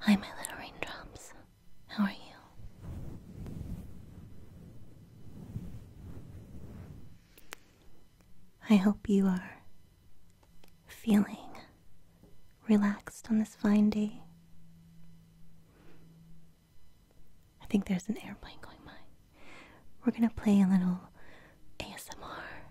Hi, my little raindrops. How are you? I hope you are feeling relaxed on this fine day. I think there's an airplane going by. We're gonna play a little ASMR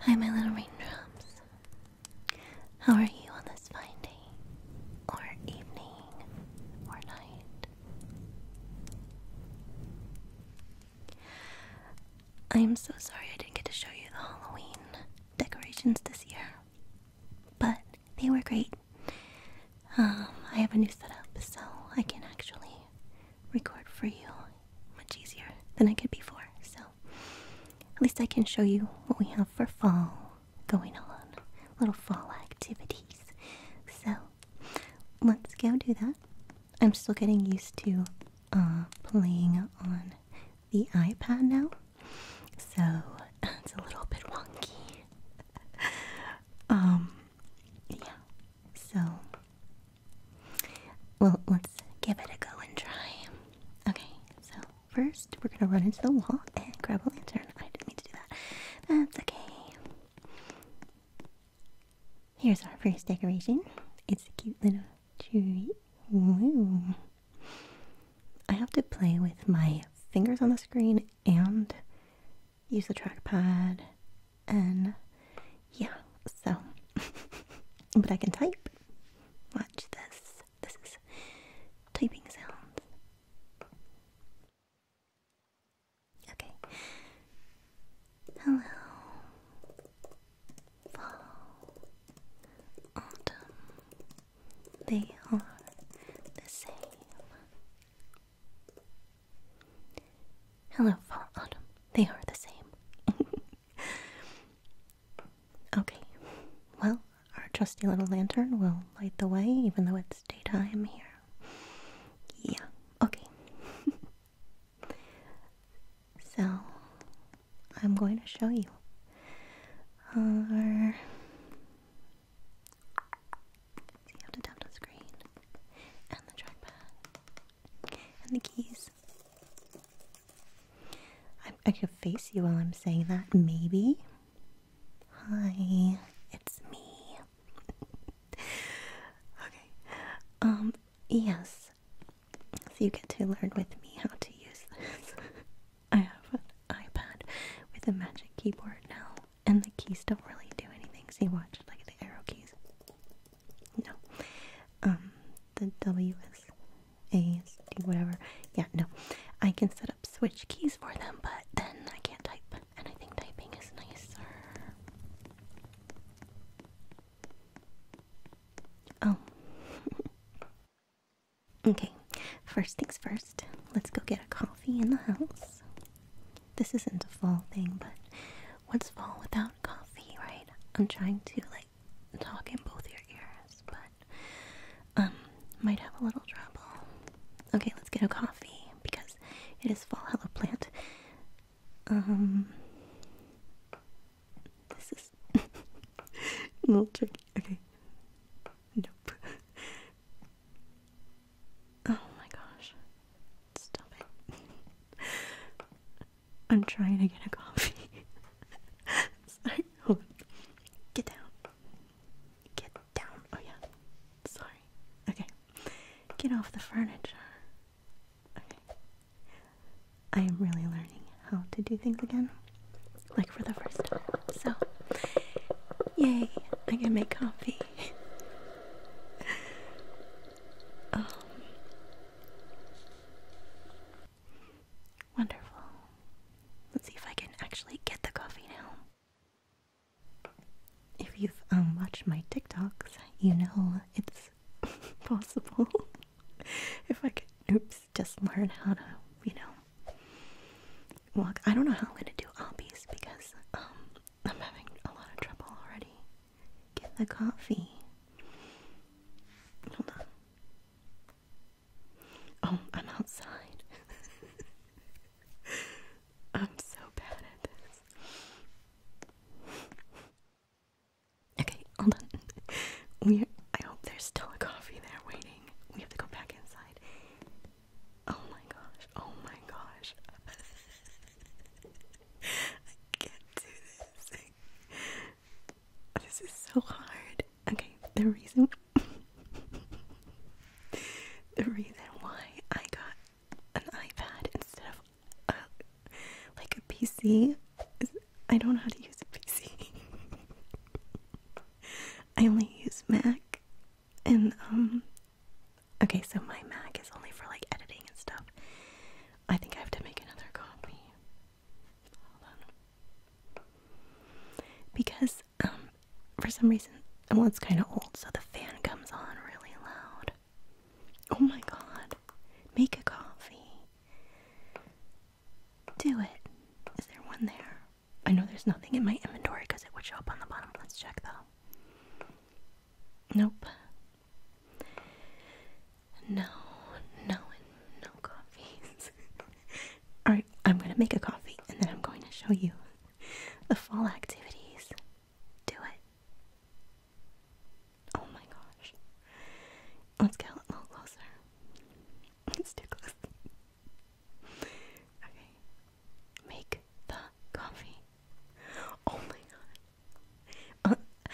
Hi, my little raindrops. How are you on this fine day, or evening, or night? I am so sorry I didn't get to show you the Halloween decorations this year, but they were great. Um, I have a new setup, so I can actually record for you much easier than I could before. So at least I can show you what we have for fall going on, little fall activities. So let's go do that. I'm still getting used to uh, playing on the iPad now, so it's a little bit wonky. um, yeah. So well, let's give it a go and try. Okay, so first we're gonna run into the wall and grab a lantern. I didn't mean to do that. That's okay. Here's our first decoration. It's a cute little tree. I have to play with my fingers on the screen and use the trackpad and yeah, so but I can type. Watch this. This is typing sounds. Okay. Hello. Fall. Autumn. They are the same. Hello, fall, autumn. They are the same. okay, well, our trusty little lantern will light the way, even though it's daytime here. Yeah, okay. so, I'm going to show you our. you have to tap the screen and the trackpad and the keys. I, could face you while I'm saying that, maybe. Hi, it's me. okay. Um, yes. So you get to learn with me how to use this. I have an iPad with a magic keyboard now, and the keys don't really do anything. See, so watch, like the arrow keys. No. Um, the W is A whatever. Yeah, no. I can set up switch keys for them, but then I can't type. And I think typing is nicer. Oh. okay. First things first, let's go get a coffee in the house this isn't a fall thing, but what's fall without coffee, right? I'm trying to like talk in both your ears, but um, might have a little trouble. Okay, let's get a coffee because it is fall. Hello, plant. Um, this is a little tricky. Okay. Nope. Oh my gosh. Stop it. I'm trying to get a coffee. Sorry. Get down. Get down. Oh yeah. Sorry. Okay. Get off the furniture. Okay. I am really learning how to do things again. Like for the first time. So yay, I can make coffee. Um, wonderful. Let's see if I can actually get the coffee now. If you've um, watched my TikToks, you know it's possible. if I could, oops, just learn how to, you know, walk. I don't know how I'm gonna do obbies because um, I'm having a lot of trouble already. Get the coffee. Hold on. Oh, I'm outside. I'm so bad at this. Okay, hold on. We I hope there's still a coffee there waiting. We have to go back inside. Oh my gosh. Oh my gosh. I can't do this. This is so hard. Okay, the reason the reason why I got an iPad instead of a, like a PC is I don't know how to use a PC. I only use Mac and um okay, so my Mac is only for like editing and stuff. I think I have to make another coffee. Hold on. Because um, for some reason well it's kinda old, so the fan comes on really loud. Oh my god. Make a coffee. Do it. Is there one there? I know there's nothing in my inventory because it would show up on the bottom. Let's check though. Nope. No, no, no coffees. Alright, I'm gonna make a coffee and then I'm going to show you the fall activities. Do it. Oh my gosh. Let's get a little closer. It's too close. okay. Make the coffee. Oh my god. Uh,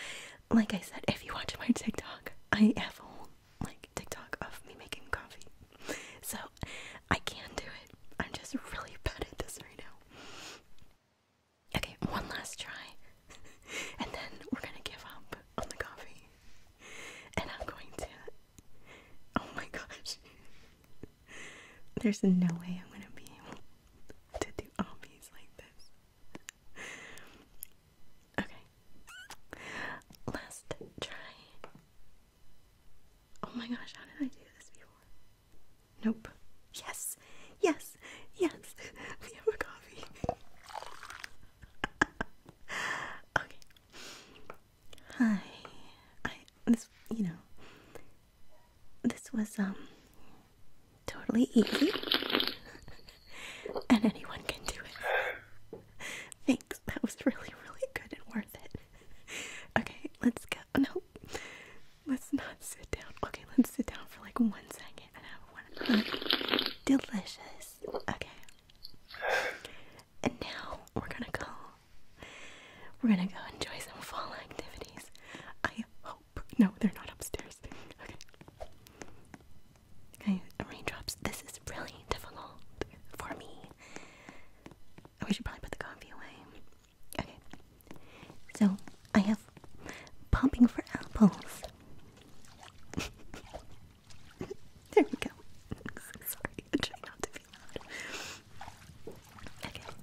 like I said, if you watch my TikTok, I have a whole like TikTok of me making coffee. So I can do it. I'm just really bad at this right now. Okay, one last try. and then we're gonna give up on the coffee. And I'm going to Oh my gosh. There's no way I'm gonna be able to do obvious like this okay. Last try. Oh my gosh, how did I do this before? Nope. Yes. Yes. Yes. We have a coffee. okay. Hi. I this you know, this was um totally easy and anyone can do it thanks that was really really good and worth it okay let's go no let's not sit down okay let's sit down for like one second and have one of delicious okay and now we're gonna go we're gonna go enjoy some fall activities I hope no, they're not upstairs. Okay. Okay, raindrops. This is really difficult for me. we should probably put the coffee away. Okay. So, I have pumping for apples. there we go. Sorry, I not to be loud. Okay.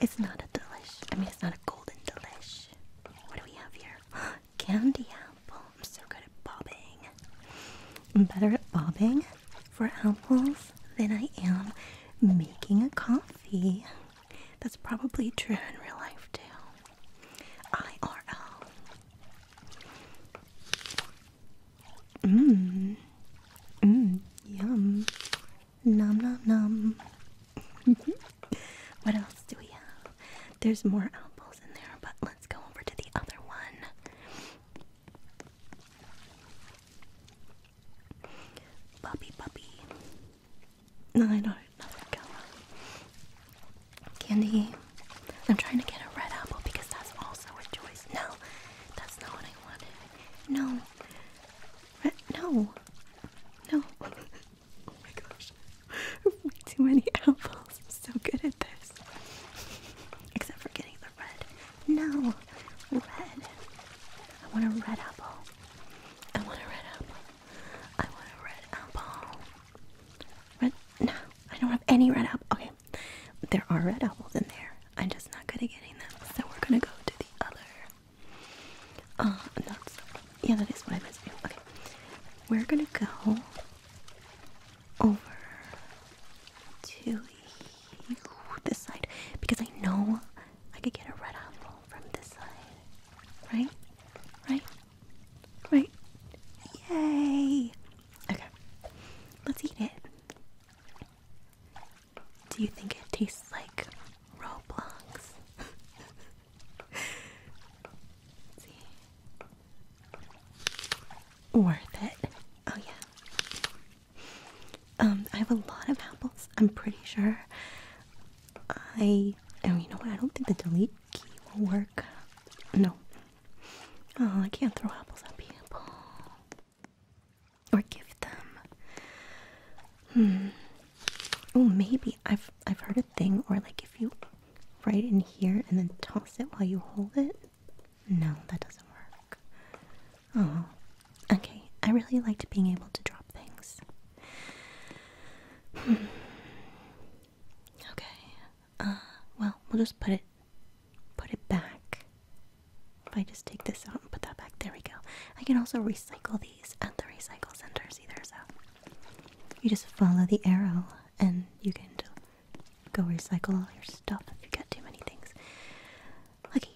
It's not a delish. I mean, it's not a golden delish. What do we have here? Candy apple. I'm so good at bobbing. I'm better at bobbing for apples than I am making a coffee. That's probably true in real life, too. IRL. Mmm. Mmm. Yum. Num num num. what else do we have? There's more apples in there, but let's go over to the other one. Puppy, puppy. No, I don't another color. Candy. I'm trying to get a red apple because that's also a choice. No, that's not what I wanted. No, no. No. oh my gosh. Way too many apples. I'm so good at this. Except for getting the red. No. Red. I want a red apple. I want a red apple. I want a red apple. Red no, I don't have any red apple. Okay. There are red apples in there. I'm just not good at getting them. So we're gonna go to the other Oh, yeah, that is what I meant to be. Okay, we're gonna go over to this side because I know I could get a red apple from this side, right? Right? Right? Yay! Okay, let's eat it. Do you think it tastes like Roblox? Worth it. Oh yeah. Um, I have a lot of apples. I'm pretty sure. I oh you know what? I don't think the delete key will work. No. Oh, I can't throw apples at people or give them. Hmm. Oh, maybe I've I've heard a thing, or like if you write in here and then toss it while you hold it. No, that doesn't work. Oh, okay. I really liked being able to drop things. Hmm. Okay. Uh, well, we'll just put it, put it back. If I just take this out and put that back, there we go. I can also recycle these at the recycle centers either, so you just follow the arrow and you can go recycle all your stuff if you got too many things. Okay,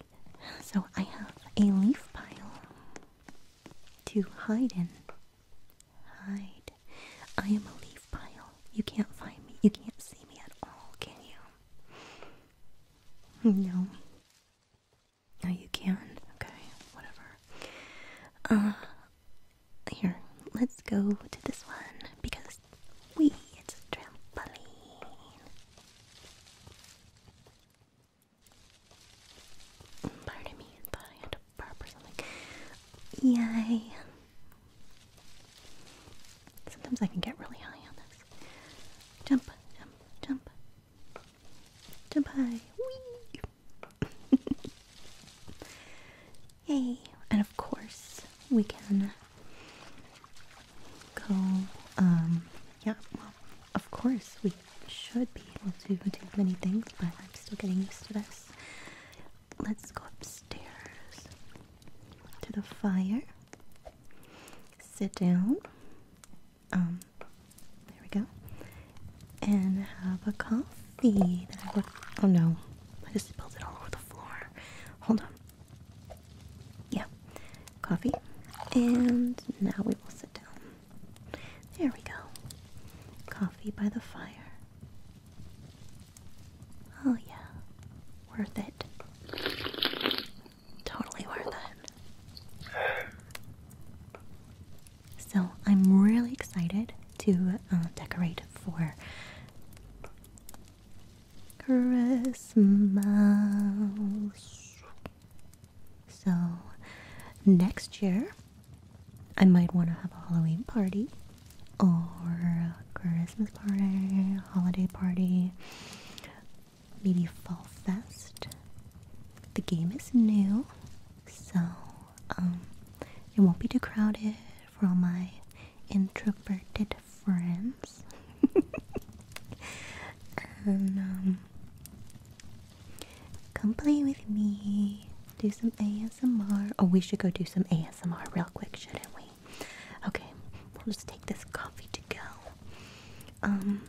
so I have a leaf pile to hide in. Hide. I am a leaf pile. You can't find me. You can't see me at all, can you? No. No, you can? Okay, whatever. Uh, here, let's go to this one because we, it's a trampoline. Pardon me, I thought I had to burp or something. Yay. Sometimes I can get really high on this. Jump, jump, jump, Goodbye. Whee! Yay! And of course, we can go, um, yeah, well, of course, we should be able to do many things, but I'm still getting used to this. Let's go upstairs to the fire, sit down, um, there we go. And have a coffee Oh no, I just spilled it all over the floor. Hold on. Yeah, coffee. And now we will sit down. There we go. Coffee by the fire. Oh yeah, worth it. Totally worth it. So I'm really excited to uh, decorate for Christmas. So next year I might want to have a Halloween party or a Christmas party, holiday party, Maybe Fall Fest. The game is new, so um, it won't be too crowded for all my introverted friends. and um, come play with me. Do some ASMR. Oh, we should go do some ASMR real quick, shouldn't we? Okay, we'll just take this coffee to go. Um,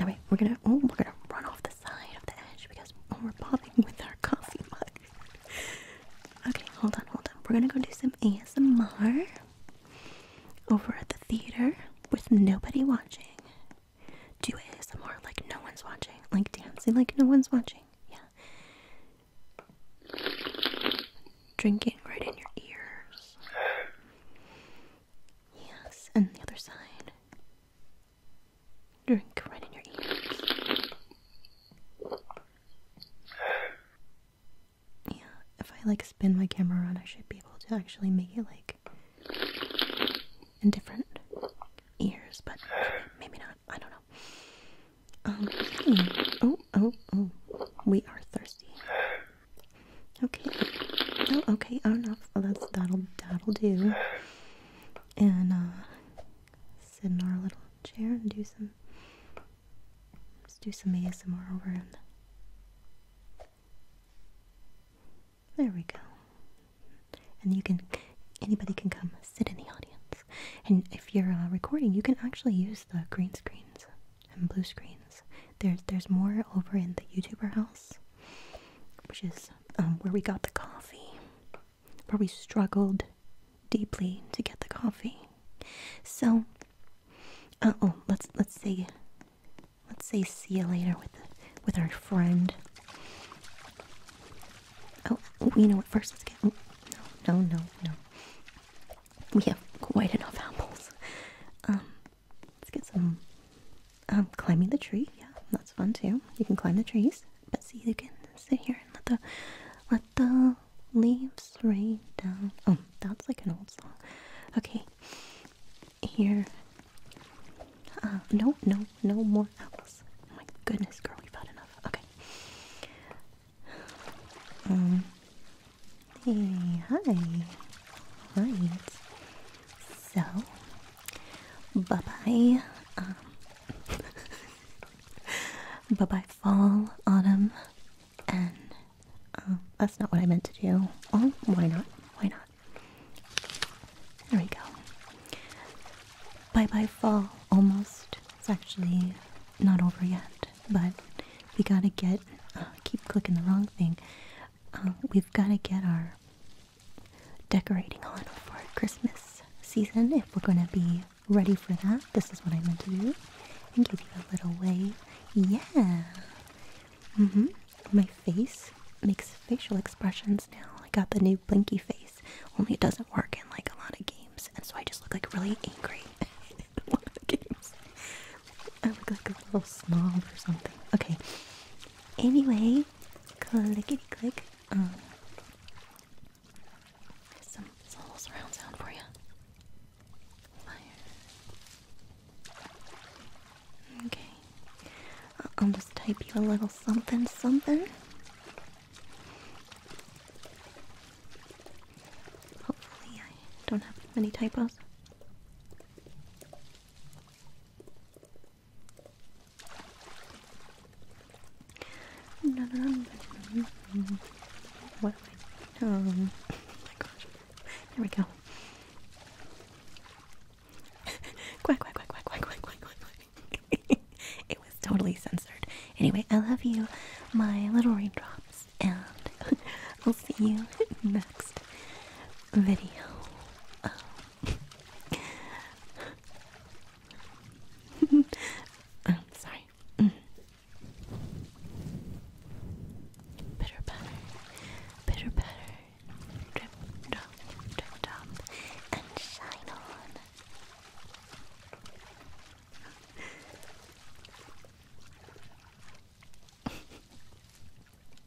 Alright, we're gonna oh we're gonna run off the side of the edge because oh, we're bobbing with our coffee mug. okay, hold on, hold on. We're gonna go do some ASMR over at the theater with nobody watching. Do ASMR like no one's watching. Like dancing like no one's watching. Yeah. Drinking right in your ears. Yes, and the other side. Drink right in your ears. Yeah, if I like spin my camera around, I should be able to actually make it like in different ears, but maybe not. I don't know. Um, hmm. oh, oh, oh. We are thirsty. Okay. Oh, okay. Oh no. that's that'll do. And uh, sit in our little chair and do some. Let's do some ASMR over There we go. And you can, anybody can come sit in the audience. And if you're uh, recording, you can actually use the green screens and blue screens. There's there's more over in the YouTuber house, which is um, where we got the coffee, where we struggled deeply to get the coffee. So, uh oh, let's let's say, let's say see you later with with our friend. Oh, you know what? First, let's get. No, oh, no, no, no. We have quite enough apples. Um, Let's get some um, climbing the tree. Yeah, that's fun too. You can climb the trees, but see, you can sit here and let the let the leaves rain down. Oh, that's like an old song. Okay, here. Um, no, no, no more owls. Oh my goodness, girl, we've had enough. Okay. Um, Hey, hi. Right. So, bye bye. Um, bye bye, fall, autumn, and um, that's not what I meant to do. Oh, why not? Why not? There we go. Bye bye, fall. Almost. It's actually not over yet, but we gotta get. Uh, keep clicking the wrong thing. Uh, we've got to get our decorating on for Christmas season if we're going to be ready for that. This is what I meant to do and give you a little way. Yeah. hmm. My face makes facial expressions now. I got the new blinky face, only it doesn't work in like a lot of games, and so I just look like really angry in a lot of games. I look like a little snob or something. Okay. Anyway, clickety click. Um, some, some little surround for you. Okay. Uh, I'll just type you a little something something. Hopefully, I don't have many typos. What Oh my gosh. There we go. quack, quack, quack, quack, quack, quack, quack, quack. it was totally censored. Anyway, I love you, my little raindrops, and we will see you next video. Oh. I'm sorry. Bitter butter, bitter butter, drip, drop, drip, drop, and shine on.